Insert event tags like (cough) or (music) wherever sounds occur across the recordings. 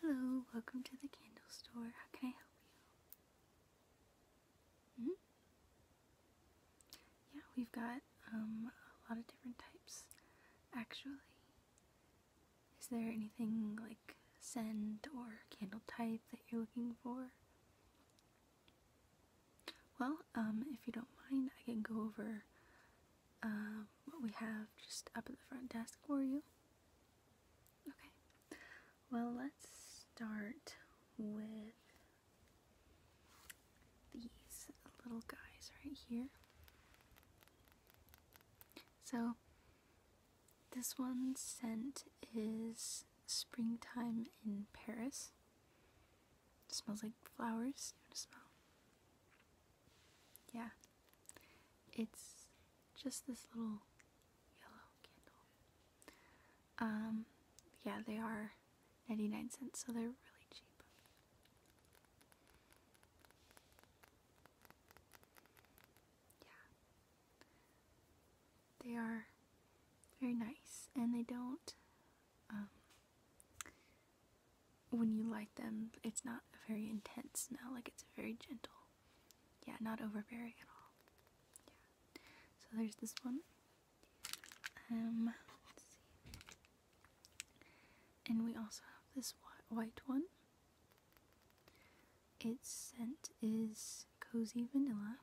Hello, welcome to the candle store. How can I help you? -hmm. Yeah, we've got um, a lot of different types actually. Is there anything like scent or candle type that you're looking for? Well, um, if you don't mind, I can go over um, what we have just up at the front desk for you. Okay, well, let's start with these little guys right here. So, this one scent is Springtime in Paris. smells like flowers. You know, smell yeah, it's just this little yellow candle. Um, yeah, they are 99 cents, so they're really cheap. Yeah, they are very nice, and they don't, um, when you light them, it's not a very intense smell, like it's very gentle. Yeah, not overbearing at all. Yeah. So there's this one. Um, And we also have this white one. Its scent is cozy vanilla.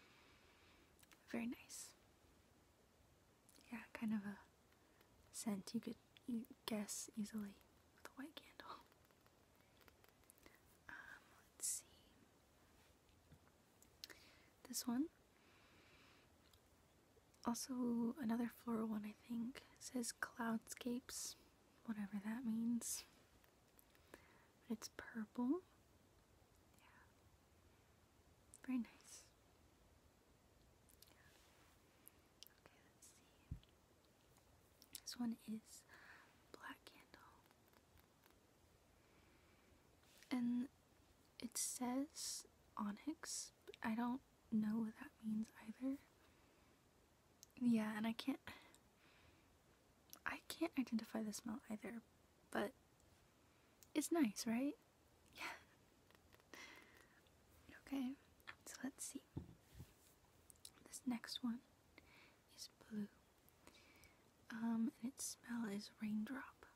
(laughs) very nice yeah, kind of a scent you could guess easily with a white candle. (laughs) Um, let's see. This one. Also, another floral one, I think, says Cloudscapes, whatever that means. it's purple. Yeah. Very nice. Okay, let's see. This one is Black Candle. And it says onyx, I don't know what that means either. Yeah, and I can't I can't identify the smell either, but it's nice, right? (laughs) Yeah. Okay, so let's see. This next one is blue. Um, and its smell is raindrop.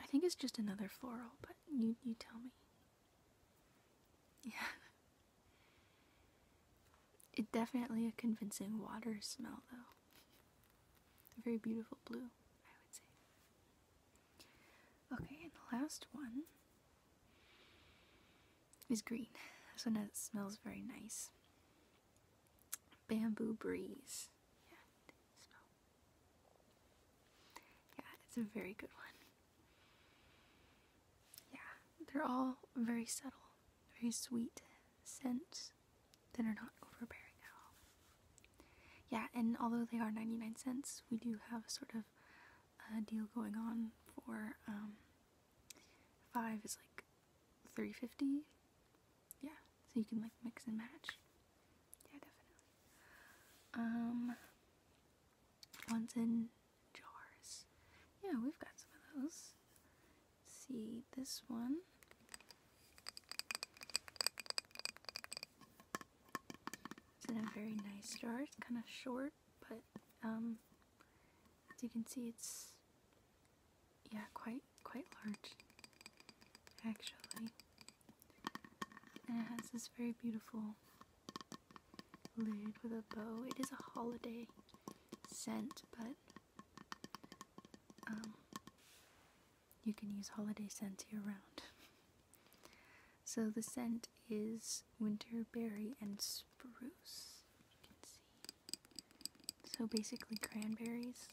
I think it's just another floral, but you you tell me. (laughs) Yeah. It's definitely a convincing water smell though. A very beautiful blue, I would say. Okay, and the last one is green. This one smells very nice. Bamboo breeze. Yeah, smell. Yeah, it's a very good one. Yeah, they're all very subtle, very sweet scents that are not overbearing at all. Yeah, and although they are 99 cents, we do have sort of a deal going on for um, five is like 350 yeah so you can like mix and match yeah definitely um one's in jars. Yeah, we've got some of those. see this one. It's in a very nice jar. It's kind of short, but um, as you can see, it's yeah, quite quite large, actually. And it has this very beautiful lid with a bow. It is a holiday scent, but um, you can use holiday scents year round. (laughs) so the scent is winterberry and spruce. So basically cranberries.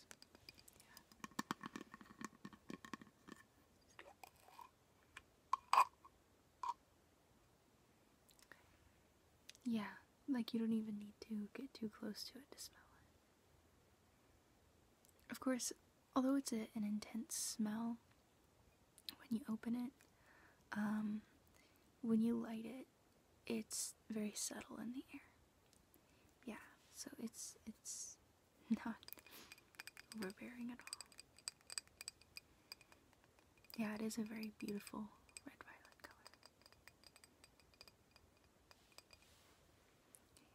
Yeah, like you don't even need to get too close to it to smell it. Of course, although it's an intense smell when you open it, um, when you light it, it's very subtle in the air. Yeah, so it's it's not overbearing at all. Yeah, it is a very beautiful red violet color.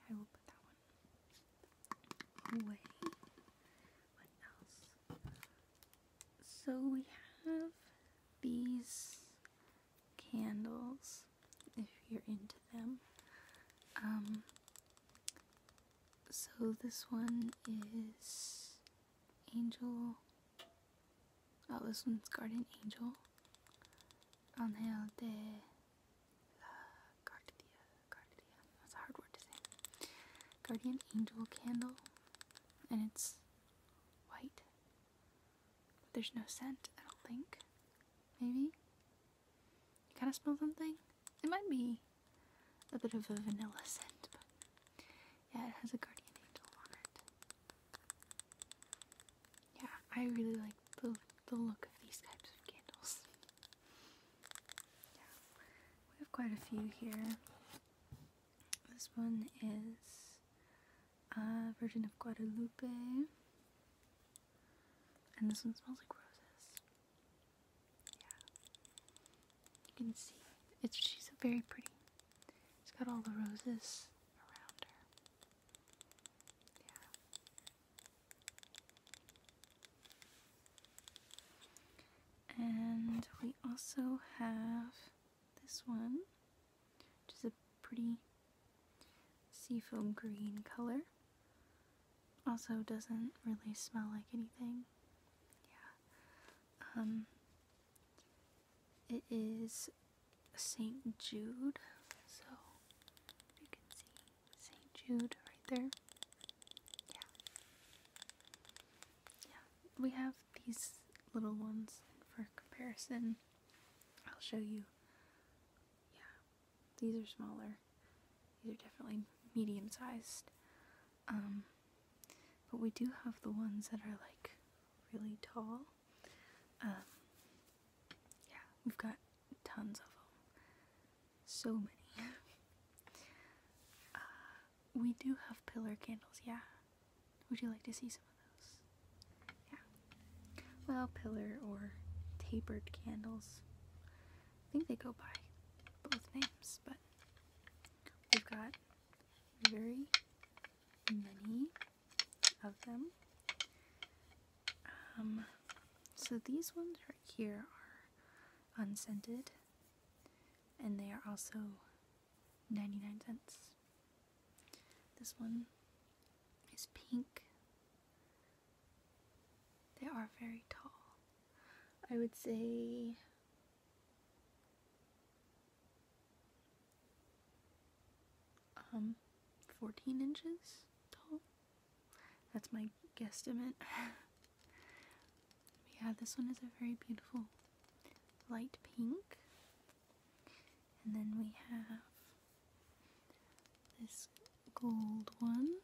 Okay, I will put that one away. What else? So we have these candles, if you're into them. Um, so this one is Angel. Oh, this one's Guardian Angel. Angel de la Guardia. Guardia. That's a hard word to say. Guardian Angel candle. And it's white. There's no scent, I don't think. Maybe? You kind of smell something? It might be a bit of a vanilla scent, but yeah, it has a guardian angel on it. Yeah, I really like the the look of these types of candles. Yeah, we have quite a few here. This one is a uh, Virgin of Guadalupe. And this one smells like roses. Yeah. You can see. It's she's very pretty. She's got all the roses around her. Yeah. And we also have this one, which is a pretty seafoam green color. Also doesn't really smell like anything. Yeah. Um, it is St. Jude. So you can see St. Jude right there. Yeah. Yeah. We have these little ones for comparison. I'll show you yeah, these are smaller. These are definitely medium sized. Um, but we do have the ones that are like really tall. Um, yeah, we've got tons of them. So many. (laughs) Uh, we do have pillar candles, yeah. Would you like to see some of those? Yeah. Well, pillar or tapered candles. I think they go by both names, but we've got very many of them. Um, so these ones right here are unscented and they are also 99 cents. This one is pink. They are very tall. I would say um 14 inches tall. That's my guesstimate. (laughs) yeah, this one is a very beautiful light pink. And then we have this gold one.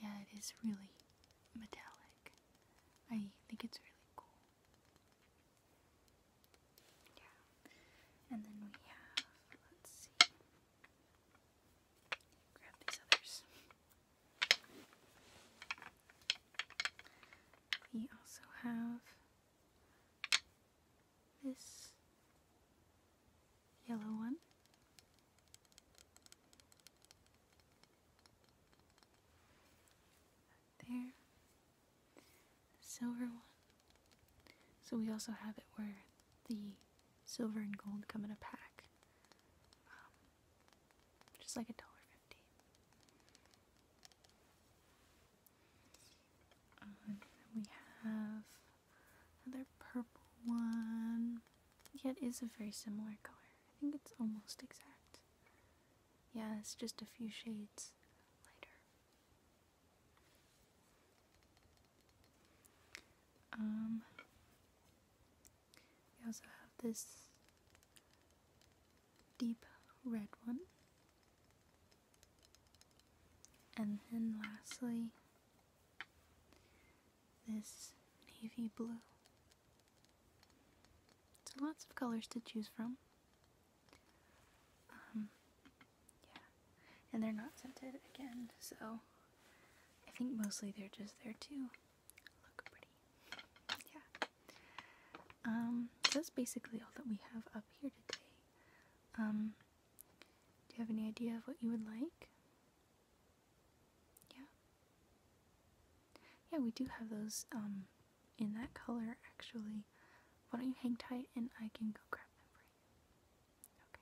Yeah, it is really metallic. I think it's really cool. Yeah. And then we have, let's see, grab these others. We also have this yellow one. There. silver one. So we also have it where the silver and gold come in a pack. Um, just like a dollar we have another purple one. Yeah, it is a very similar color. I think it's almost exact. Yeah, it's just a few shades lighter. Um, we also have this deep red one. And then lastly, this navy blue. So lots of colors to choose from. Um, yeah. And they're not scented again, so I think mostly they're just there too look pretty. Yeah. Um, that's basically all that we have up here today. Um, do you have any idea of what you would like? Yeah. Yeah, we do have those um in that color actually. Why don't you hang tight and I can go grab them for you? Okay.